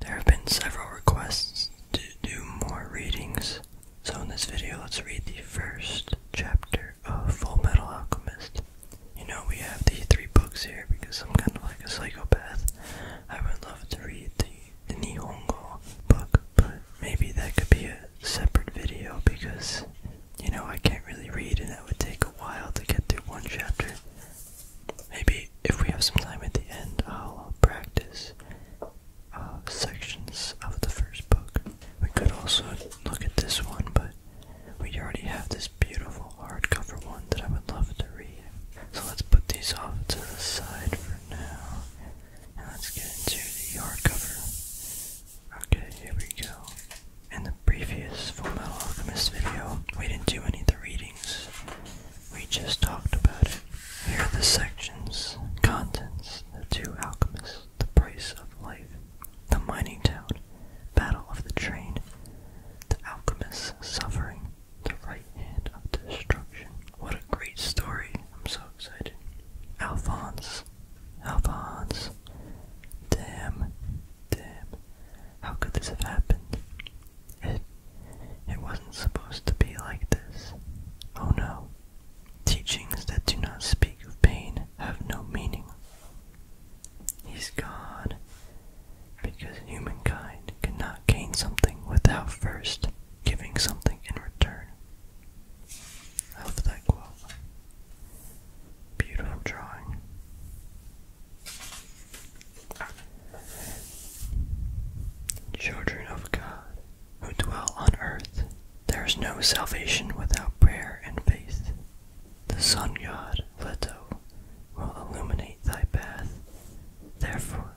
There have been several requests to do more readings, so in this video let's read the first chapter of Full Metal Alchemist. You know we have the three books here because I'm kind of like a psychopath. I would love to read the, Nihongo book, but maybe that could be a separate video because, you know, I can't really read and that would take a while to get through one chapter. Maybe if we have some time at the end, I'll uh, practice uh, sections of the first book. We could also look at this one, but we already have this beautiful hardcover one that I would love to read. So let's put these off to the side for now. And let's get into the hardcover. Okay, here we go. In the previous Full Alchemist video, we didn't do any of the readings. We just talked about it. Here are the sections, contents, the two alchemists, the price of life, the mining town, battle of the train, the alchemist's suffering, the right hand of destruction. What a great story. I'm so excited. Alphonse. Alphonse. Damn. Damn. How could this have happened? It wasn't supposed to be like this. Oh no. Teachings that do not speak of pain have no meaning. He's God, because humankind cannot gain something without first giving something in return. I love that quote. Beautiful drawing. Children of God, who dwell on earth, there is no salvation without prayer and faith. The sun god, Leto, will illuminate thy path. Therefore,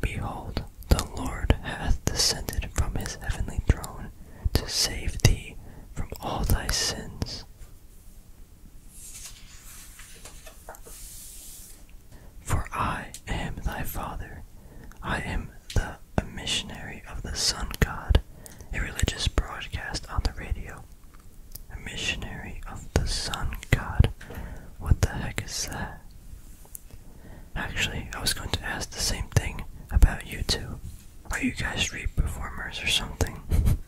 behold, the Lord hath descended from his heavenly throne to save thee from all thy sins. For I am thy father, I am the missionary of the sun god, a religious broadcast on the radio. A missionary of the sun god. What the heck is that? Actually, I was going to ask the same thing about you two. Are you guys street performers or something?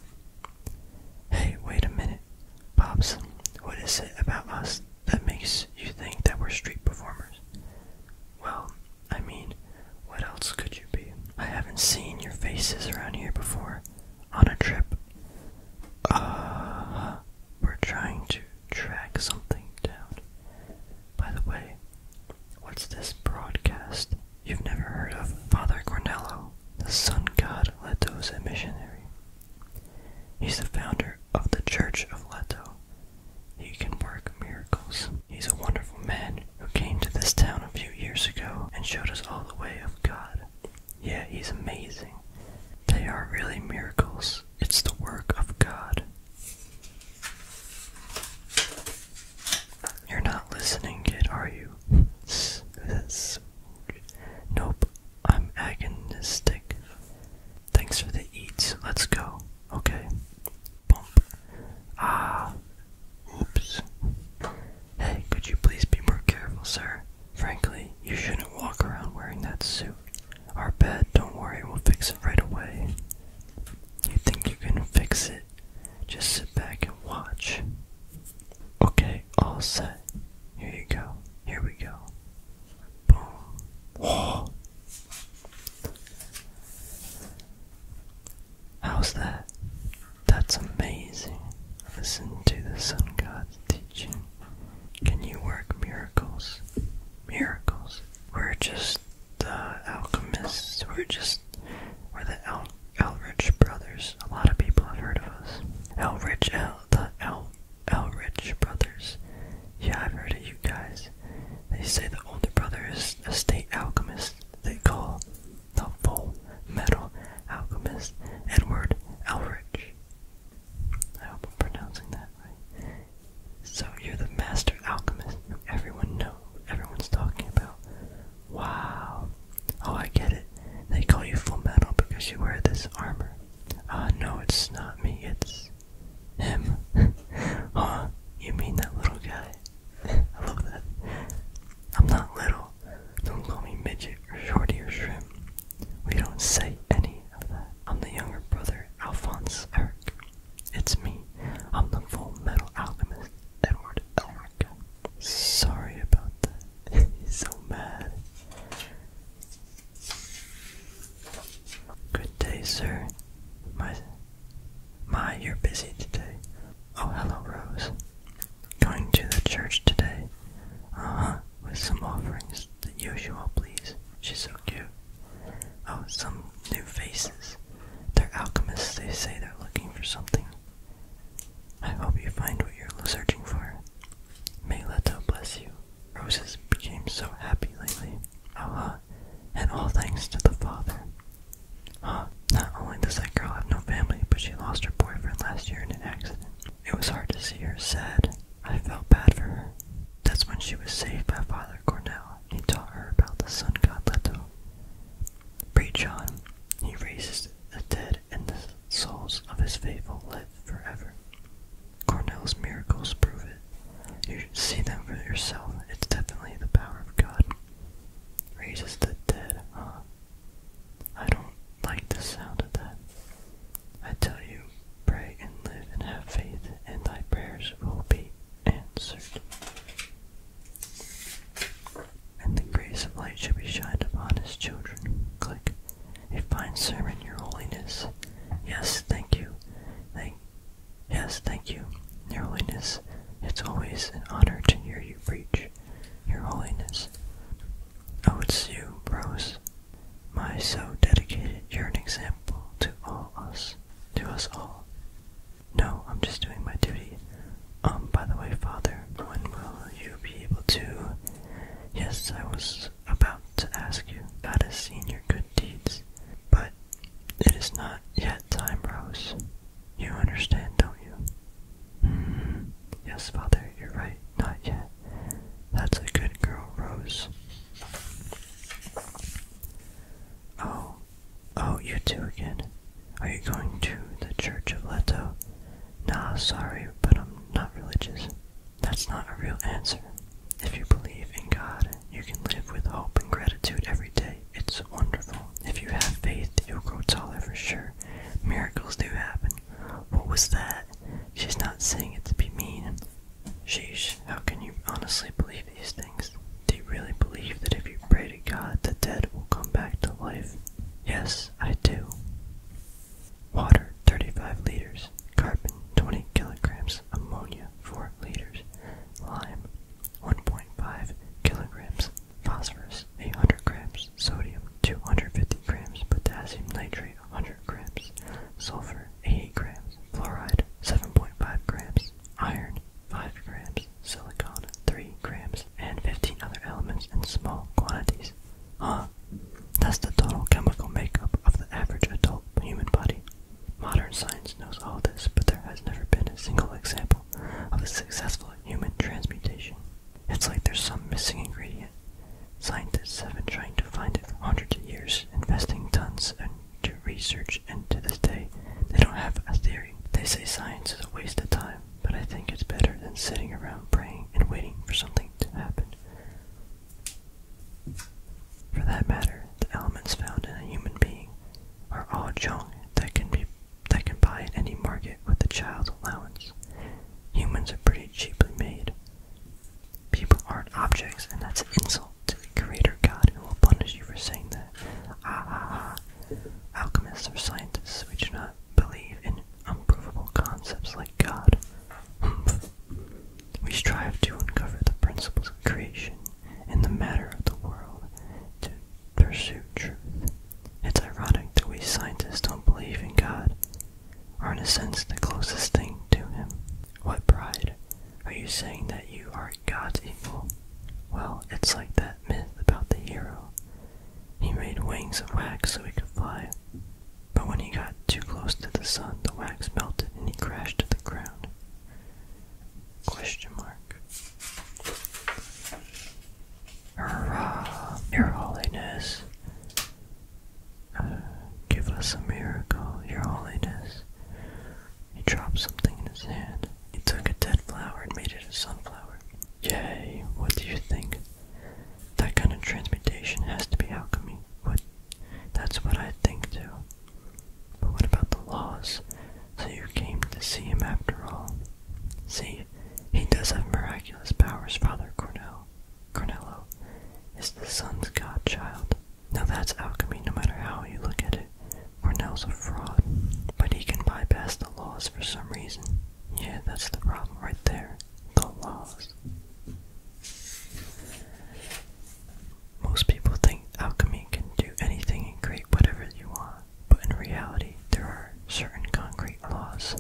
Hey, wait a minute. Pops, what is it about us that makes you think that we're street performers? Well, I mean, what else could you be? I haven't seen your faces around here before. On a trip. Uh, we're trying to track something down. By the way, what's this broadcast you've never heard of? Father Cornello the sun god Leto is a missionary. He's the founder of the Church of Leto. He can work miracles. He's a wonderful man who came to this town a few years ago and showed us all the way of God. Yeah, he's amazing. They are really miracles. It's the work of God. You're not listening, kid, are you? That's Nope, I'm agonistic. Thanks for the eats. Let's go. Okay. Bump. Ah. Oops. Hey, could you please be more careful, sir? Frankly, you shouldn't walk around wearing that suit. Our bed, don't worry, we'll fix it right away. You think you can fix it? Just sit back and watch. Okay, all set. Here you go. Here we go. Boom. How's that? That's amazing. Listen to the sun god's teaching. Can you work miracles? Miracles. We're just uh, alchemists. We're just we're the al Elrich Brothers. A lot of people have heard of us. Elrich, El, uh, the El, Elrich Brothers. Yeah, I've heard of you guys. They say the older brother is a state alchemist. They call the full metal alchemist Edward Elrich. I hope I'm pronouncing that right. So you're the master alchemist everyone knows, everyone's talking about. Wow. Oh, I get it. They call you Full Metal because you wear this armor. Ah, uh, no, it's not me, it's him. huh? You mean that little guy? I love that. I'm not little. Don't call me midget or shorty or shrimp. We don't say any of that. I'm the younger brother, Alphonse Eric. It's me. I'm the full metal alchemist, Edward Elric. Sorry about that. so mad. Good day, sir. My, my, you're busy today. Oh, hello, Rose. Going to the church today. Uh-huh, with some offerings. The usual, please. She's so cute. Oh, some new faces. They're alchemists. They say they're looking for something. I hope you find what you're searching for. May Leto bless you. Roses became so happy lately. Allah, and all thanks to the Father. Huh, not only does that girl have no family, but she lost her boyfriend last year in an accident. It was hard to see her sad. I felt bad for her. That's when she was saved by Father Cornell. He taught her about the Son, god Leto. Preach on. He raises the dead, and the souls of his faithful live forever. Cornell's miracles prove it. You should see them for yourself. It's definitely the power of God. Raises the dead, I don't like the sound of that. I tell you, pray and live and have faith, and thy prayers will be answered. And the grace of light should be shined upon his children. Click. A fine sermon, your holiness. Yes, thank you. Thank Yes, thank you, your holiness. It's always an honor to hear you preach, your holiness. Oh, it's you, Rose, my so dedicated. You're an example to all us, to us all. No, I'm just doing my duty. Um, by the way, Father, when will you be able to? Yes, I was about to ask you. God has seen your good deeds, but it is not yet time, Rose. You understand, don't you? Mm-hmm. Yes, Father, you're right. Not yet. That's a good girl, Rose. Oh, oh, you two again. Are you going to the Church of Leto? Nah, sorry, but I'm not religious. That's not a real answer. If you believe in God, you can live with hope and gratitude every day. It's wonderful. If you have faith, you'll grow taller for sure. Miracles do happen. What was that? She's not saying it to be mean. Sheesh, how can you honestly believe these things? Do you really believe that if you pray to God, the dead will come back to life? Yes, I do. Water, 35 liters. Carbon, 20 kilograms. Ammonia, 4 liters. Lime, 1.5 kilograms. Phosphorus, 800 grams. Sodium, 250 grams. Potassium nitrate, 100 grams. Sulfur, 80 grams. Fluoride, 7.5 grams. Iron, 5 grams silicon 3 grams, and 15 other elements in small quantities. Huh? That's the total chemical makeup of the average adult human body. Modern science knows all this, but there has never been a single example of a successful human transmutation. It's like there's some missing ingredient. Scientists have been trying to find it for hundreds of years, investing tons into research, and to this day, they don't have a theory. They say science is a waste of time, but I think it's better than sitting around praying and waiting for something to happen. For that matter, the elements found in a human being are all junk that can be that can buy at any market with a child's allowance. Humans are pretty cheaply made. People aren't objects, and that's an insult to the creator God who will punish you for saying that. Ah, ah, ah. Alchemists or scientists. We do not believe in unprovable concepts like God. we strive to uncover the principles of creation and the matter of the world to pursue truth. It's ironic that we scientists don't believe in God, or in a sense the closest thing to Him. What pride? Are you saying that you are God's equal? Well, it's like that myth about the hero he made wings of wax so he could fly, but when he got too close to the sun, the wax melted and he crashed to the ground. Question Your Holiness! Uh, give us a miracle, Your Holiness. He dropped something in his hand. It took a dead flower and made it a sunflower. Yay, what do you think? That kind of transmutation has to be alchemy. What? That's what I think too. But what about the laws? So you came to see him after all. See, he does have miraculous powers, Father Cornell. Cornello is the sun's godchild. Now that's alchemy no matter how you look at it. Cornell's a fraud, but he can bypass the laws for some reason. Yeah, that's the problem right there. The laws. Most people think alchemy can do anything and create whatever you want, but in reality, there are certain concrete laws.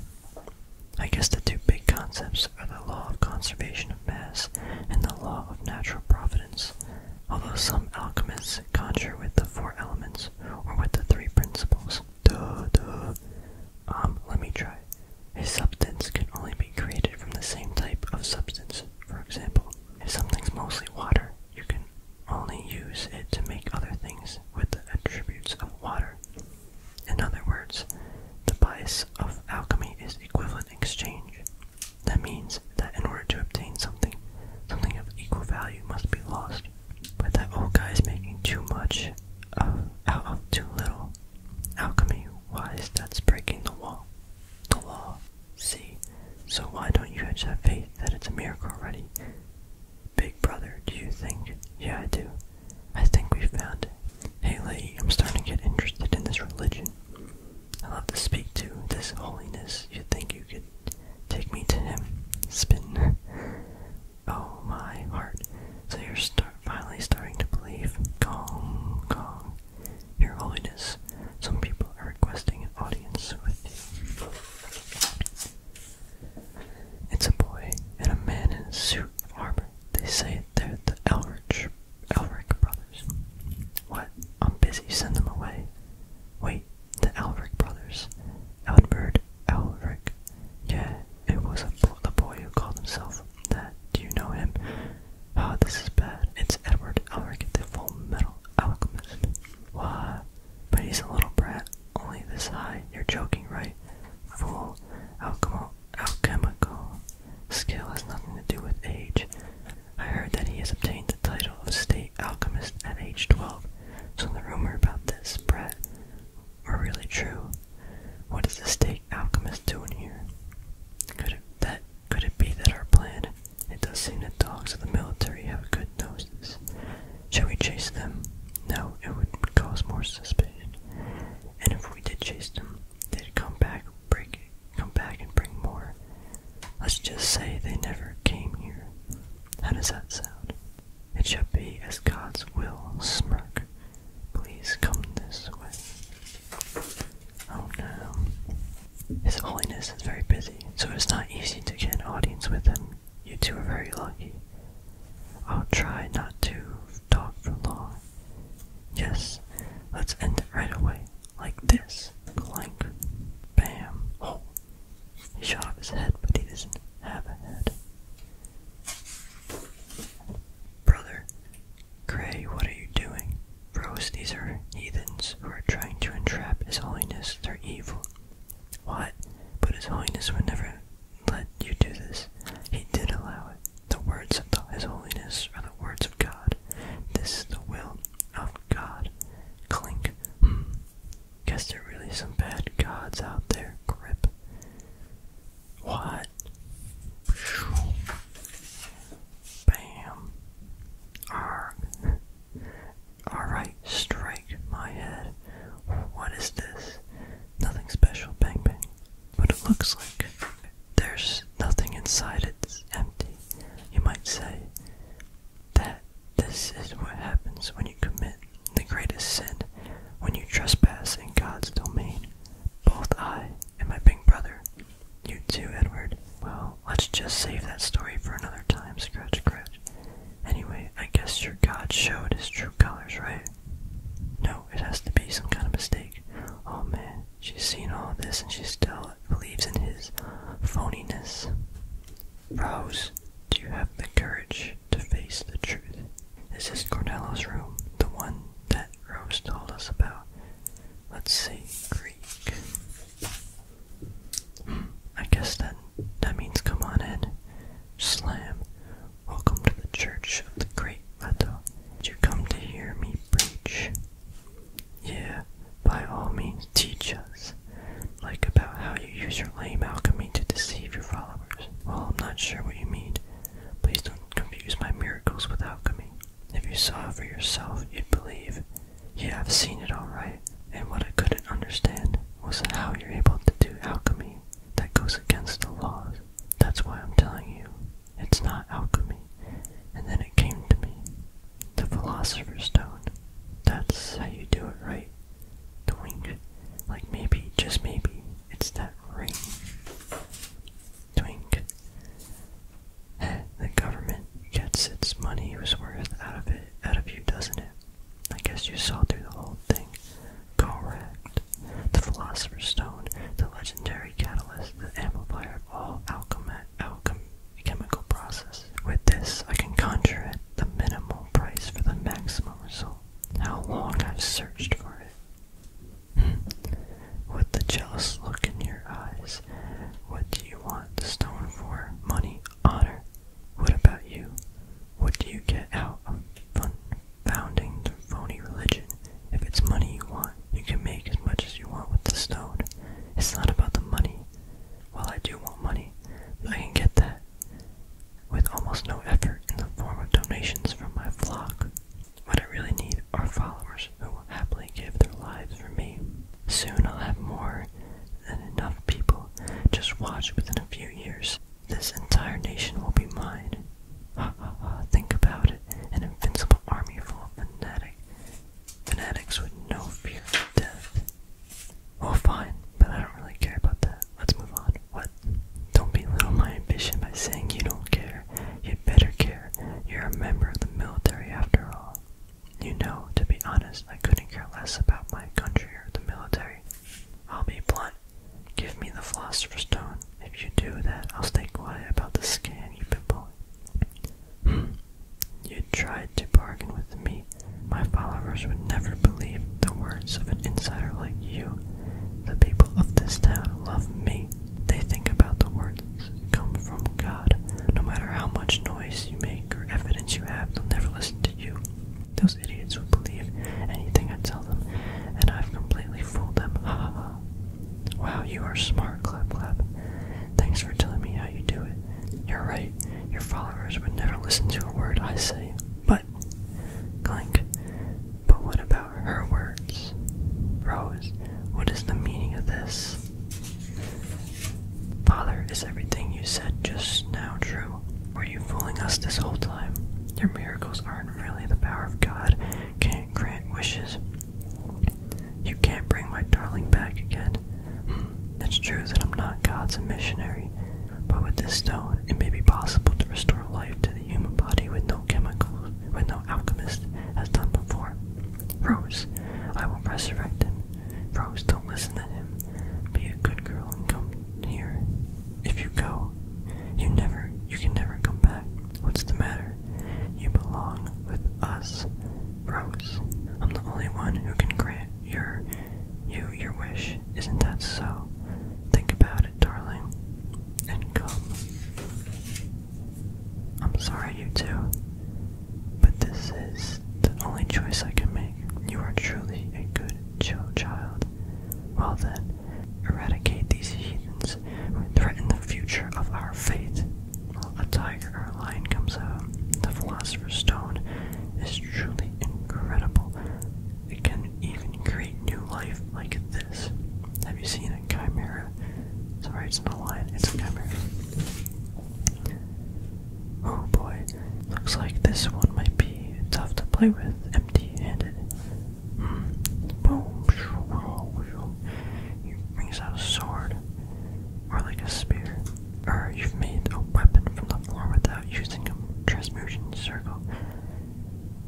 I guess the two big concepts are the law of conservation of mass and the law of natural providence although some alchemists conjure with the four elements or with the three principles. Um, let me try. A substance can only be created from the same type of substance. For example, if something's mostly water, you can only use it to make other things with the attributes of water. In other words, the bias of alchemy is equivalent exchange. That means that in order to obtain something, something of equal value must be lost but that old guy's making too much of, out of too little. Alchemy Why is that's breaking the wall, the law. See, so why don't you just have faith that it's a miracle already? Big brother, do you think? Yeah, I do. I think we found it. Hey, lady, I'm starting to get interested in this religion. I love to speak to this holiness. You think you could Take me to him. Spin. Oh, my heart. So you're finally starting to believe. Gong, gong. Your Holiness, some people are requesting an audience with you. It's a boy and a man in suit armor. They say they're the Elric, Elric brothers. What? I'm busy. Send them away. Wait, the Alric brothers, Albert Alric. Yeah, it was a the boy who called himself that. Do you know him? Oh, this is bad. It's Edward Alric, the Full Metal Alchemist. What? But he's a little brat, only this high. You're joking, right? Full alchemical skill has nothing to do with age. I heard that he has obtained the title of state alchemist at age 12, so the rumor about this spread are really true. What is the state alchemist doing here? Could it, that, could it be that our plan? It does seem that dogs of the military have a good noses. Shall we chase them? No, it would cause more suspicion. And if we did chase them, they'd come back, break, come back and bring more. Let's just say they never came here. How does that sound? It shall be as God's will, Smirk. Please come this way. Oh no. His Holiness is very busy, so it's not easy to get an audience with him. You two are very lucky. I'll try not to talk for long. Yes, let's end it right away like this. Clank. Bam. Oh. He shot off his head, but he doesn't have a head. Brother, Gray, what are you doing? Bros, these are heathens who are trying to entrap His Holiness. They're evil. What? But His Holiness would never let you do this. He did allow it. The words of His Holiness are the words of God. This is the will of God. Clink. Hmm. guess there are really some bad gods out there, grip. What? Bam. Arg. Alright, strike my head. What is this? Nothing special, bang bang. But it looks like there's nothing inside, it's empty, you might say that this is what happens when you commit the greatest sin, when you trespass in God's domain. Both I and my big brother. You too, Edward. Well, let's just save that story for another time, Scratch Scratch. Anyway, I guess your God showed his true colors, right? No, it has to be some kind of mistake. Oh man, she's seen all this and she still believes in his phoniness. Rose. do you have the courage to face the truth? This is Cornello's room, the one that Rose told us about. Let's see, Greek. Hmm, I guess that that means come on in. Slam. Welcome to the Church of the Great Leto. Did you come to hear me preach? Yeah, by all means teach us. Like about how you use your lame alchemy to deceive your followers. Well, I'm not sure what you mean. Please don't confuse my miracles with alchemy. If you saw it for yourself, you'd believe. Yeah, I've seen it all right. And what I couldn't understand was how you're able to do alchemy that goes against the laws. That's why I'm telling you. It's not alchemy. And then it came to me. The Philosopher's Stone. That's how you do it, right? The wink. Like maybe, just maybe, it's that ring. Twink. the government gets its money's worth out of it, out of you, doesn't it? I guess you saw through the whole thing. Correct. The Philosopher's Stone, the legendary catalyst, the amplifier of all alchemy, alchem chemical process. With this, I can conjure it. the minimal price for the maximum result. How long I've searched for it. Hmm. With the jealous look in your eyes, what do you want the stone for? Money? Honor? What about you? What do you get out of founding the phony religion? If it's money you want, you can make as much as you want with the stone. It's not about the money, well, I do want money, but I can get that with almost no effort in the form of donations from my flock. What I really need are followers who will happily give their lives for me. Soon I'll have more than enough people. Just watch within a few years. This entire nation will be mine. Ha ha ha, think about it. An invincible army full of fanatic Fanatics with no fear of death. Well, fine, but I don't really care about that. Let's move on. What? Don't belittle my ambition by saying you don't care. You'd better care. You're a member of the military after all. You know, to be honest, I couldn't care less about my country or the military. I'll be blunt. Give me the philosopher's stone. If you do that, I'll stay quiet about the scam you've been you tried to bargain with me. My followers would never believe the words of an insider like you. The people of this town love me. They think about the words that come from God. No matter how much noise you make or evidence you have, they'll never listen to you. Those idiots would believe anything I tell them, and I've completely fooled them. Ha ha ha. Wow, you are smart, Clap Clap. Thanks for telling me how you do it. You're right, your followers would never listen to a word I say. But, clank, but what about her words? Rose, what is the meaning of this? Father, is everything you said just now true? Were you fooling us this whole time? Your miracles aren't really the power of God, can't grant wishes, you can't bring my darling back again. It's true that I'm not God's missionary, but with this stone, it may be possible to restore life to the human body with no chemicals, with no alchemist has done before. Rose, I will resurrect him. Rose, don't listen to him. Be a good girl and come here. If you go, you never, you can never come back. What's the matter? You belong with us, Rose. I'm the only one who can grant your you your wish. Isn't that so? Think about it, darling. And come. I'm sorry, you two. But this is the only choice I can make. You are truly a good child. Well then, eradicate these heathens who threaten the future of our faith a tiger a lion comes out. The Philosopher's Stone is truly incredible. It can even create new life like this. Have you seen a chimera? Sorry, it's not a lion, it's a chimera. Oh boy, looks like this one might be tough to play with empty handed. Mm. Boom! He brings out a sword or like a spear, or you've made a weapon from the floor without using a transmutation circle.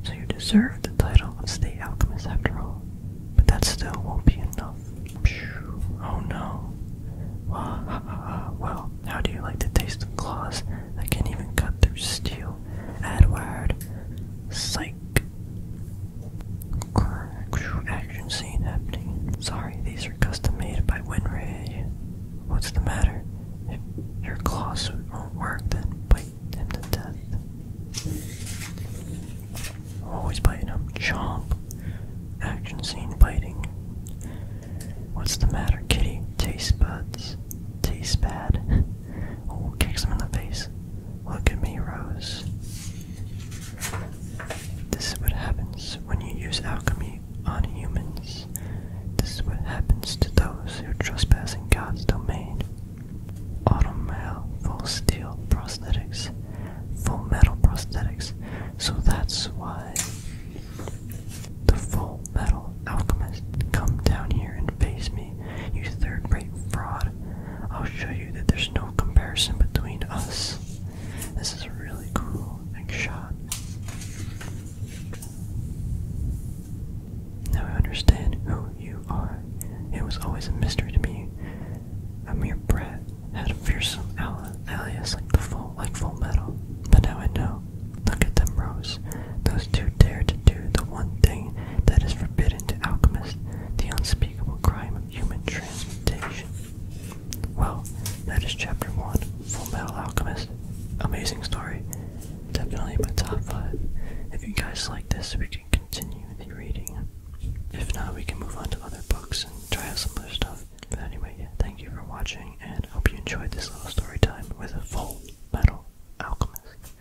So you deserve the title of State Alchemist after all. But that still won't be enough. Oh no. Well, how do you like the taste of claws that can even cut through steel? Edward. Psych action scene happening. Sorry, these are custom made by WinRay. What's the matter? If your claw suit won't work, then bite him to death. Always biting him. Chomp. Action scene biting. What's the matter, kitty? Taste buds. Taste bad. oh, kicks him in the face. Look at me, Rose. This is what happens when you use alchemy on humans. This is what happens to those who trespass in God's domain. Autumn full steel prosthetics, full metal prosthetics. So that's why the full metal alchemist come down here and face me, you third-rate fraud. I'll show you that there's no comparison between us. This is a really cool like, shot. Now I understand who you are. It was always a mystery to me. A mere breath had a fearsome al alias like the full like full metal. But now I know. Look at them, Rose. Those two dare to do the one thing that is forbidden to alchemists, the unspeakable crime human transmutation. Well, that is chapter one, Full Metal Alchemist. Amazing story. Definitely my top five. If you guys like this, we can continue the reading. If not, we can move on to other books and try out some other stuff. But anyway, thank you for watching, and hope you enjoyed this little story time with Full Metal Alchemist.